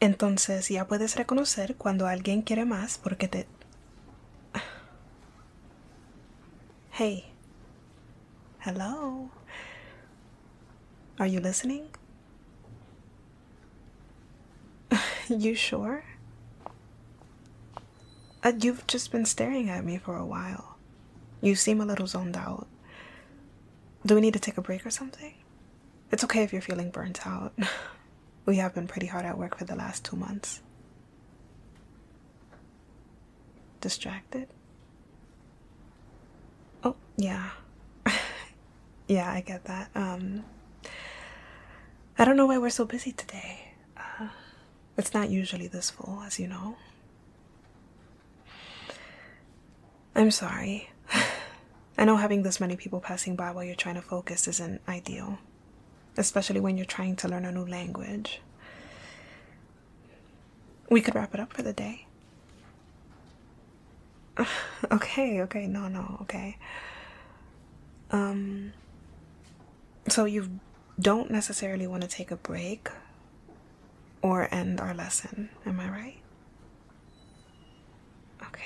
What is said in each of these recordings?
Entonces ya puedes reconocer cuando alguien quiere más porque te... Hey. Hello. Are you listening? you sure? Uh, you've just been staring at me for a while. You seem a little zoned out. Do we need to take a break or something? It's okay if you're feeling burnt out. we have been pretty hard at work for the last two months. Distracted? Oh, yeah. yeah, I get that. Um, I don't know why we're so busy today. Uh, it's not usually this full, as you know. I'm sorry. I know having this many people passing by while you're trying to focus isn't ideal, especially when you're trying to learn a new language. We could wrap it up for the day. okay, okay, no, no, okay. Um, so you don't necessarily want to take a break or end our lesson, am I right? Okay.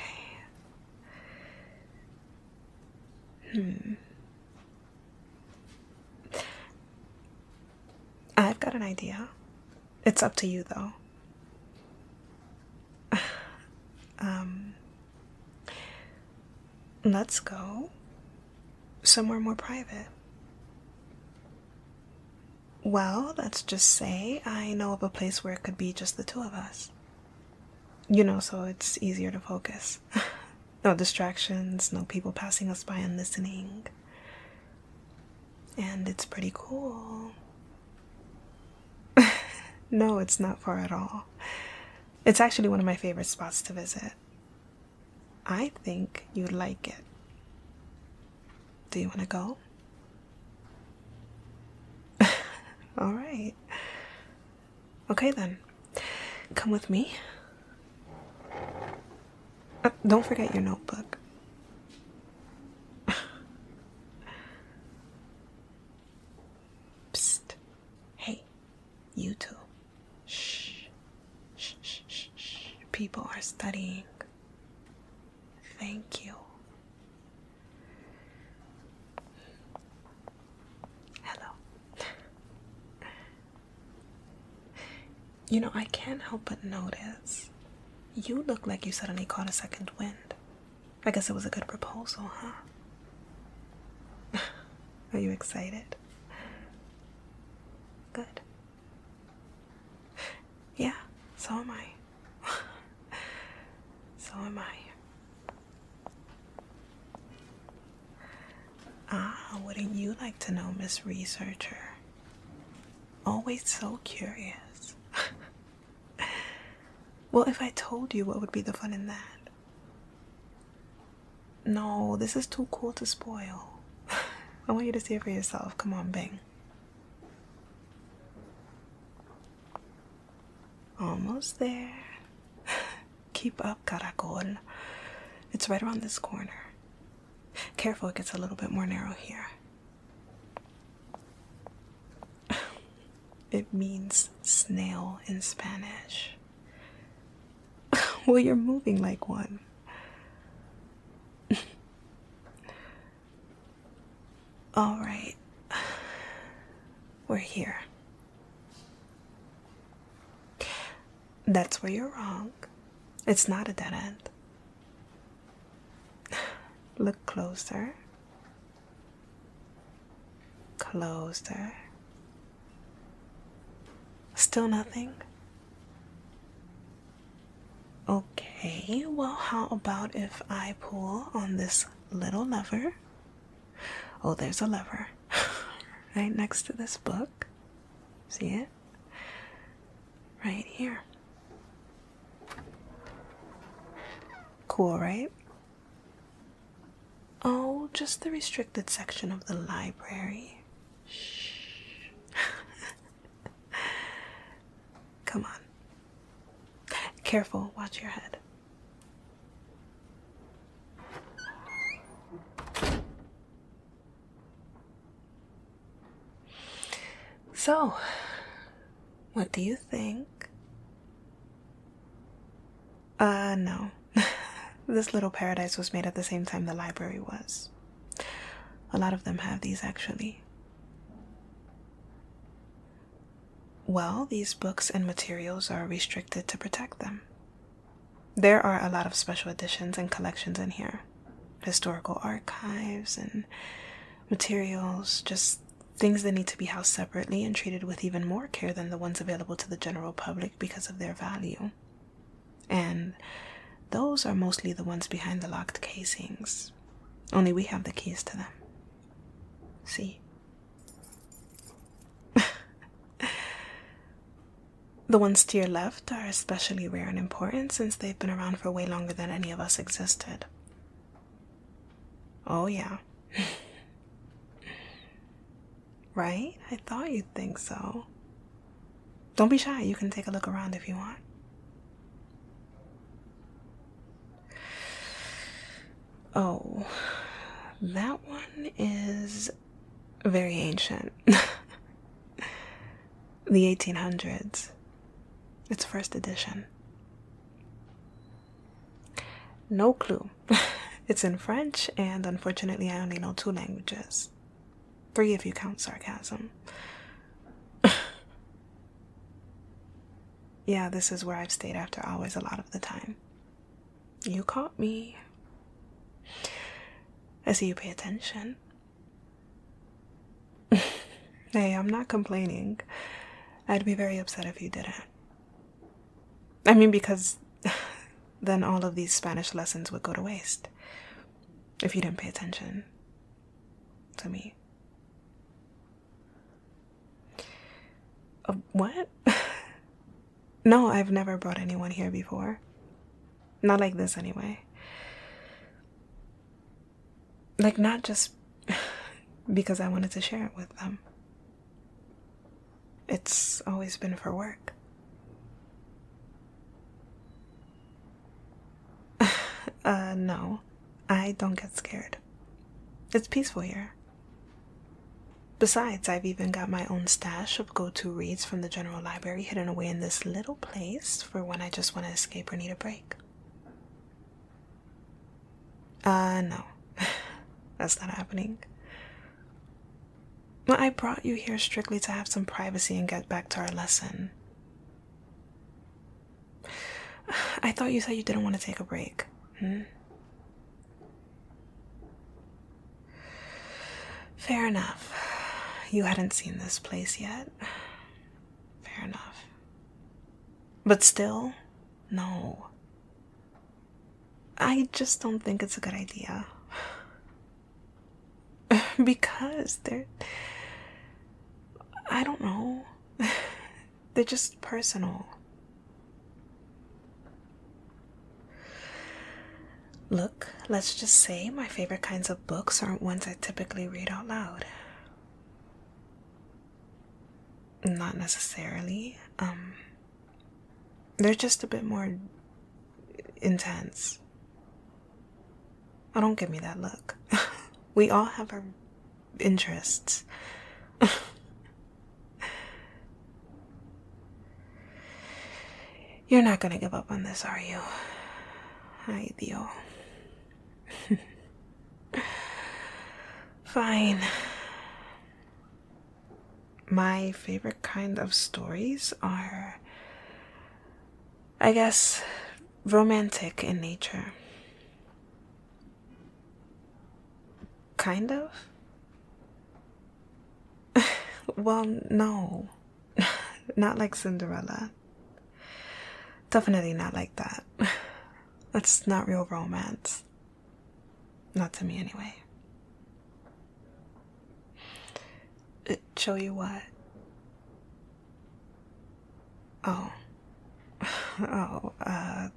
Hmm. I've got an idea. It's up to you, though. um, let's go somewhere more private. Well, let's just say I know of a place where it could be just the two of us. You know, so it's easier to focus. no distractions, no people passing us by and listening. And it's pretty cool. no, it's not far at all. It's actually one of my favorite spots to visit. I think you'd like it. Do you want to go? All right. Okay then. Come with me. Uh, don't forget your notebook. Psst. Hey, you too. Shh, shh, shh, shh. People are studying. Thank you. Hello. you know, I can't help but notice you look like you suddenly caught a second wind. I guess it was a good proposal, huh? Are you excited? Good. yeah, so am I. so am I. Ah, wouldn't you like to know, Miss Researcher? Always so curious. well, if I told you, what would be the fun in that? No, this is too cool to spoil. I want you to see it for yourself. Come on, Bing. Almost there. Keep up, Caracol. It's right around this corner. Careful, it gets a little bit more narrow here. It means snail in Spanish. well, you're moving like one. All right. We're here. That's where you're wrong. It's not a dead end. Look closer. Closer. Still nothing. Okay, well, how about if I pull on this little lever? Oh, there's a lever right next to this book. See it? Right here. Cool, right? Oh, just the restricted section of the library. Shh. Come on. Careful, watch your head. So, what do you think? Uh, no. this little paradise was made at the same time the library was. A lot of them have these actually. Well, these books and materials are restricted to protect them. There are a lot of special editions and collections in here historical archives and materials, just things that need to be housed separately and treated with even more care than the ones available to the general public because of their value. And those are mostly the ones behind the locked casings. Only we have the keys to them. See? the ones to your left are especially rare and important since they've been around for way longer than any of us existed. Oh, yeah. Right? I thought you'd think so. Don't be shy. You can take a look around if you want. Oh, that one is very ancient. the 1800s. It's first edition. No clue. it's in French, and unfortunately, I only know two languages Three if you count sarcasm. yeah, this is where I've stayed after hours a lot of the time. You caught me. I see you pay attention. hey, I'm not complaining. I'd be very upset if you didn't. I mean, because then all of these Spanish lessons would go to waste if you didn't pay attention to me. Uh, what? no, I've never brought anyone here before. Not like this, anyway. Like, not just because I wanted to share it with them. It's always been for work. Uh, no, I don't get scared. It's peaceful here. Besides, I've even got my own stash of go to reads from the general library hidden away in this little place for when I just want to escape or need a break. Uh, no, that's not happening. But I brought you here strictly to have some privacy and get back to our lesson. I thought you said you didn't want to take a break. Hmm? Fair enough. You hadn't seen this place yet. Fair enough. But still, no. I just don't think it's a good idea. because they're. I don't know. they're just personal. Look, let's just say my favorite kinds of books aren't ones I typically read out loud. Not necessarily. Um, they're just a bit more intense. Oh, don't give me that look. we all have our interests. You're not gonna give up on this, are you? Ay, Fine my favorite kind of stories are, I guess, romantic in nature. Kind of? well, no. not like Cinderella. Definitely not like that. That's not real romance. Not to me, anyway. It show you what? Oh. Oh, uh.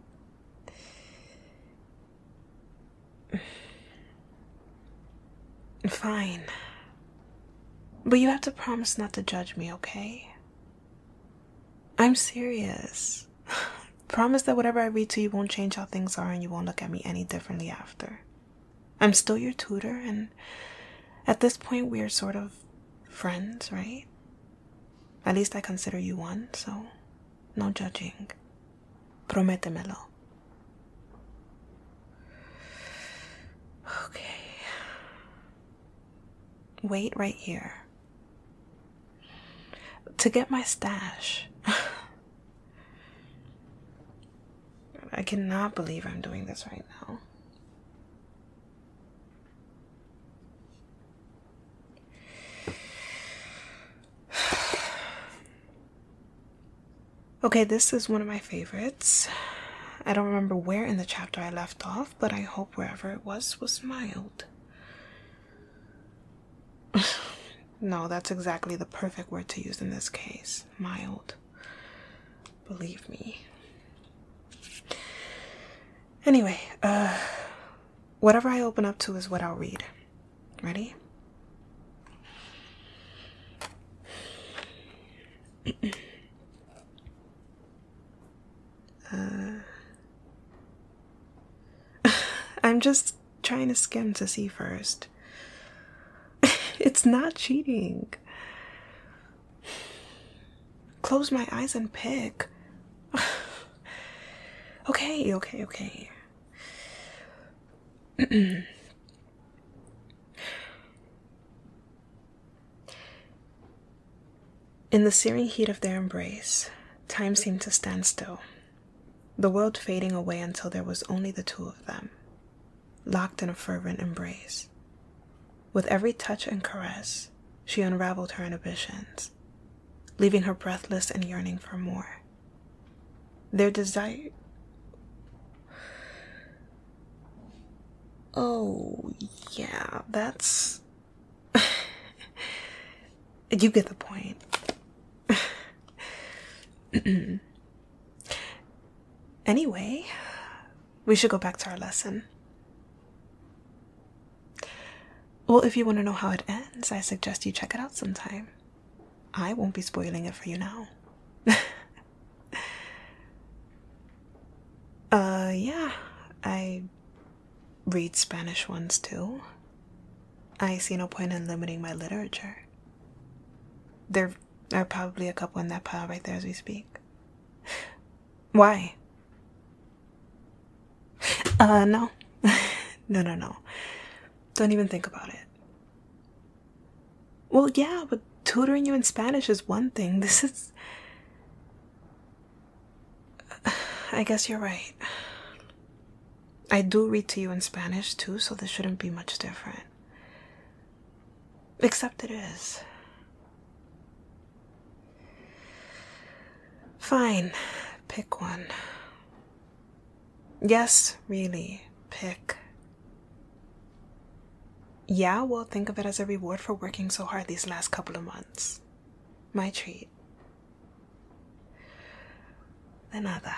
Fine. But you have to promise not to judge me, okay? I'm serious. Promise that whatever I read to you won't change how things are and you won't look at me any differently after. I'm still your tutor, and at this point, we are sort of friends, right? At least I consider you one, so no judging. Prométemelo. Okay. Wait right here to get my stash. I cannot believe I'm doing this right now. Okay, this is one of my favorites. I don't remember where in the chapter I left off, but I hope wherever it was was mild no, that's exactly the perfect word to use in this case. Mild. Believe me. Anyway, uh, whatever I open up to is what I'll read. Ready? uh, I'm just trying to skim to see first. it's not cheating. Close my eyes and pick. okay, okay, okay. In the searing heat of their embrace, time seemed to stand still, the world fading away until there was only the two of them, locked in a fervent embrace. With every touch and caress, she unraveled her inhibitions, leaving her breathless and yearning for more. Their desire. Oh, yeah, that's you get the point. anyway, we should go back to our lesson. Well, if you want to know how it ends, I suggest you check it out sometime. I won't be spoiling it for you now. uh, yeah, I read Spanish ones too. I see no point in limiting my literature. There are probably a couple in that pile right there as we speak. Why? Uh, no. no, no, no. Don't even think about it. Well, yeah, but tutoring you in Spanish is one thing. This is. I guess you're right. I do read to you in Spanish too, so this shouldn't be much different. Except it is. Fine, pick one. Yes, really, pick. Yeah, well, think of it as a reward for working so hard these last couple of months. My treat. Another.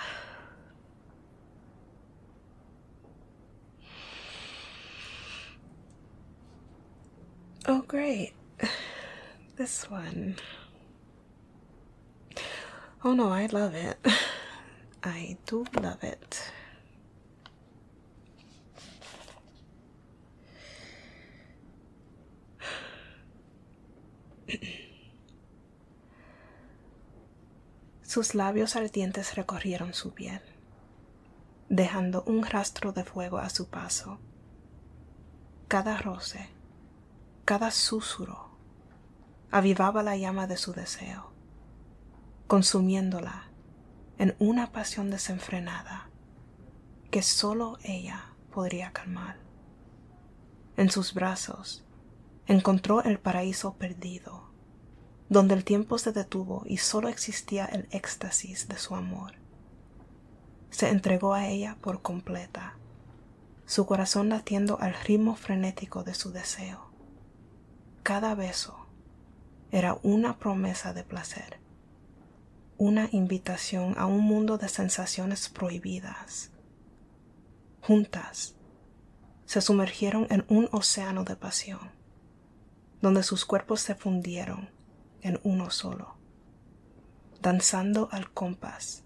Oh, great. This one. Oh no, I love it. I do love it. Sus labios ardientes recorrieron su piel, dejando un rastro de fuego a su paso. Cada roce, cada susurro, avivaba la llama de su deseo, consumiéndola en una pasión desenfrenada que solo ella podría calmar. En sus brazos encontró el paraíso perdido, donde el tiempo se detuvo y sólo existía el éxtasis de su amor. Se entregó a ella por completa, su corazón latiendo al ritmo frenético de su deseo. Cada beso era una promesa de placer una invitación a un mundo de sensaciones prohibidas. Juntas, se sumergieron en un océano de pasión, donde sus cuerpos se fundieron en uno solo, danzando al compás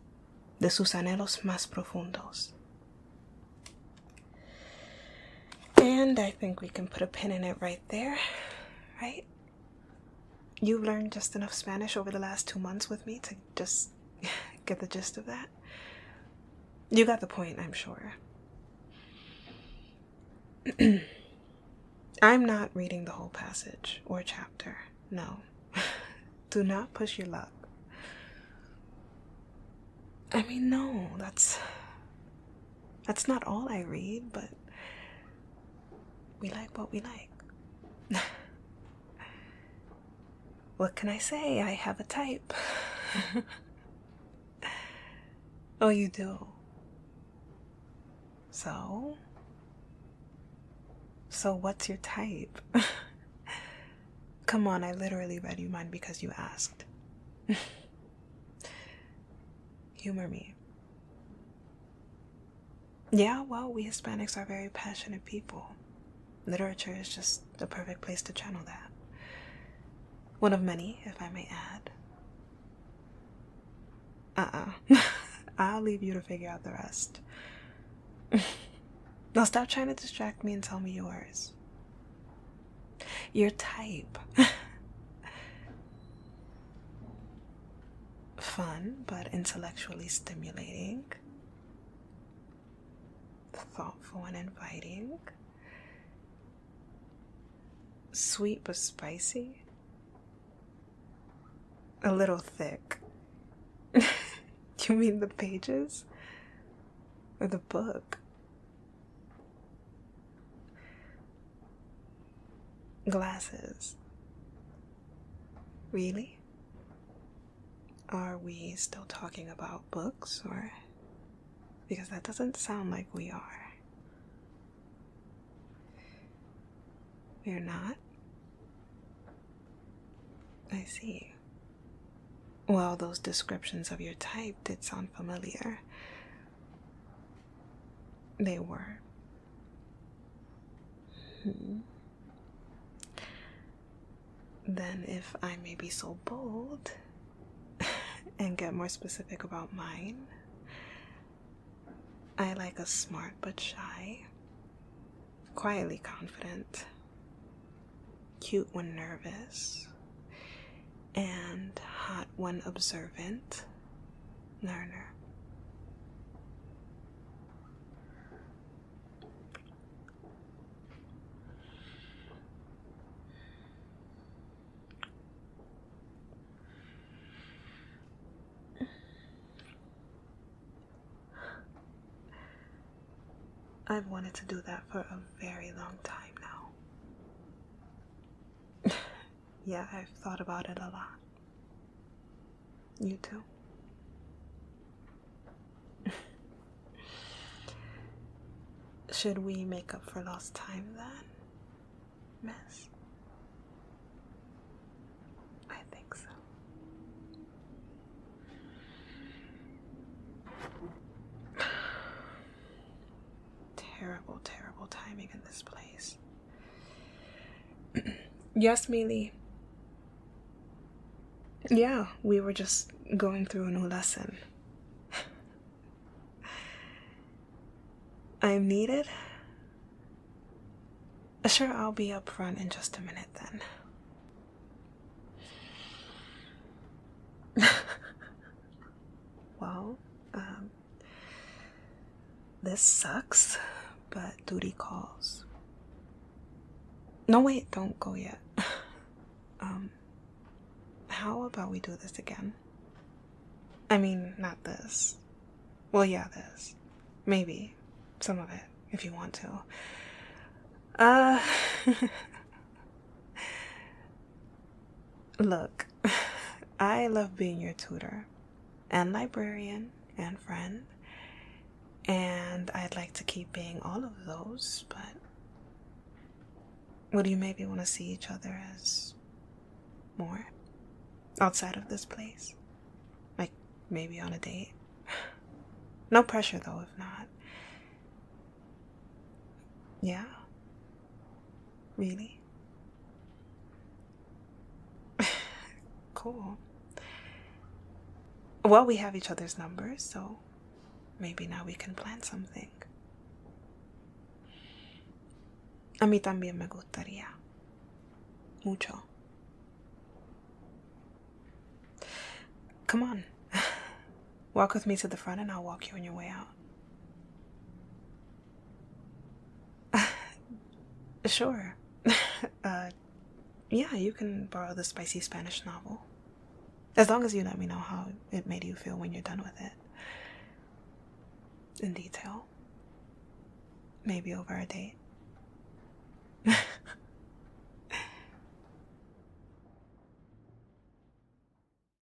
de sus anhelos más profundos. And I think we can put a pin in it right there, right? You've learned just enough Spanish over the last two months with me to just get the gist of that. You got the point, I'm sure. I'm not reading the whole passage or chapter. No. Do not push your luck. I mean, no, that's. That's not all I read, but we like what we like. what can I say? I have a type. oh, you do. So? So, what's your type? Come on, I literally read you mine because you asked. Humor me. Yeah, well, we Hispanics are very passionate people. Literature is just the perfect place to channel that. One of many, if I may add. Uh uh. I'll leave you to figure out the rest. now stop trying to distract me and tell me yours. Your type. fun but intellectually stimulating, thoughtful and inviting, sweet but spicy, a little thick. you mean the pages? Or the book? Glasses. Really? Are we still talking about books or? Because that doesn't sound like we are. We're not? I see. Well, those descriptions of your type did sound familiar. They were Hmm. Then, if I may be so bold and get more specific about mine, I like a smart but shy, quietly confident, cute when nervous, and hot when observant, learner. I've wanted to do that for a very long time now. Yeah, I've thought about it a lot. You too. Should we make up for lost time then, miss? I think so. Terrible, terrible timing in this place. yes, Mealy. Yeah, we were just going through a new lesson. I'm needed? Sure, I'll be up front in just a minute then. well, um, this sucks, but duty calls. No, wait, don't go yet. um, how about we do this again? I mean, not this. Well, yeah, this. Maybe. Some of it, if you want to. Uh. Look, I love being your tutor and librarian and friend, and I'd like to keep being all of those, but would you maybe want to see each other as more outside of this place? Like maybe on a date? No pressure though, if not. Yeah. Really? cool. Well, we have each other's numbers, so maybe now we can plan something. A también me gustaría. Mucho. Come on. Walk with me to the front and I'll walk you on your way out. sure. Uh, yeah, you can borrow the spicy Spanish novel. As long as you let me know how it made you feel when you're done with it. In detail. Maybe over a date.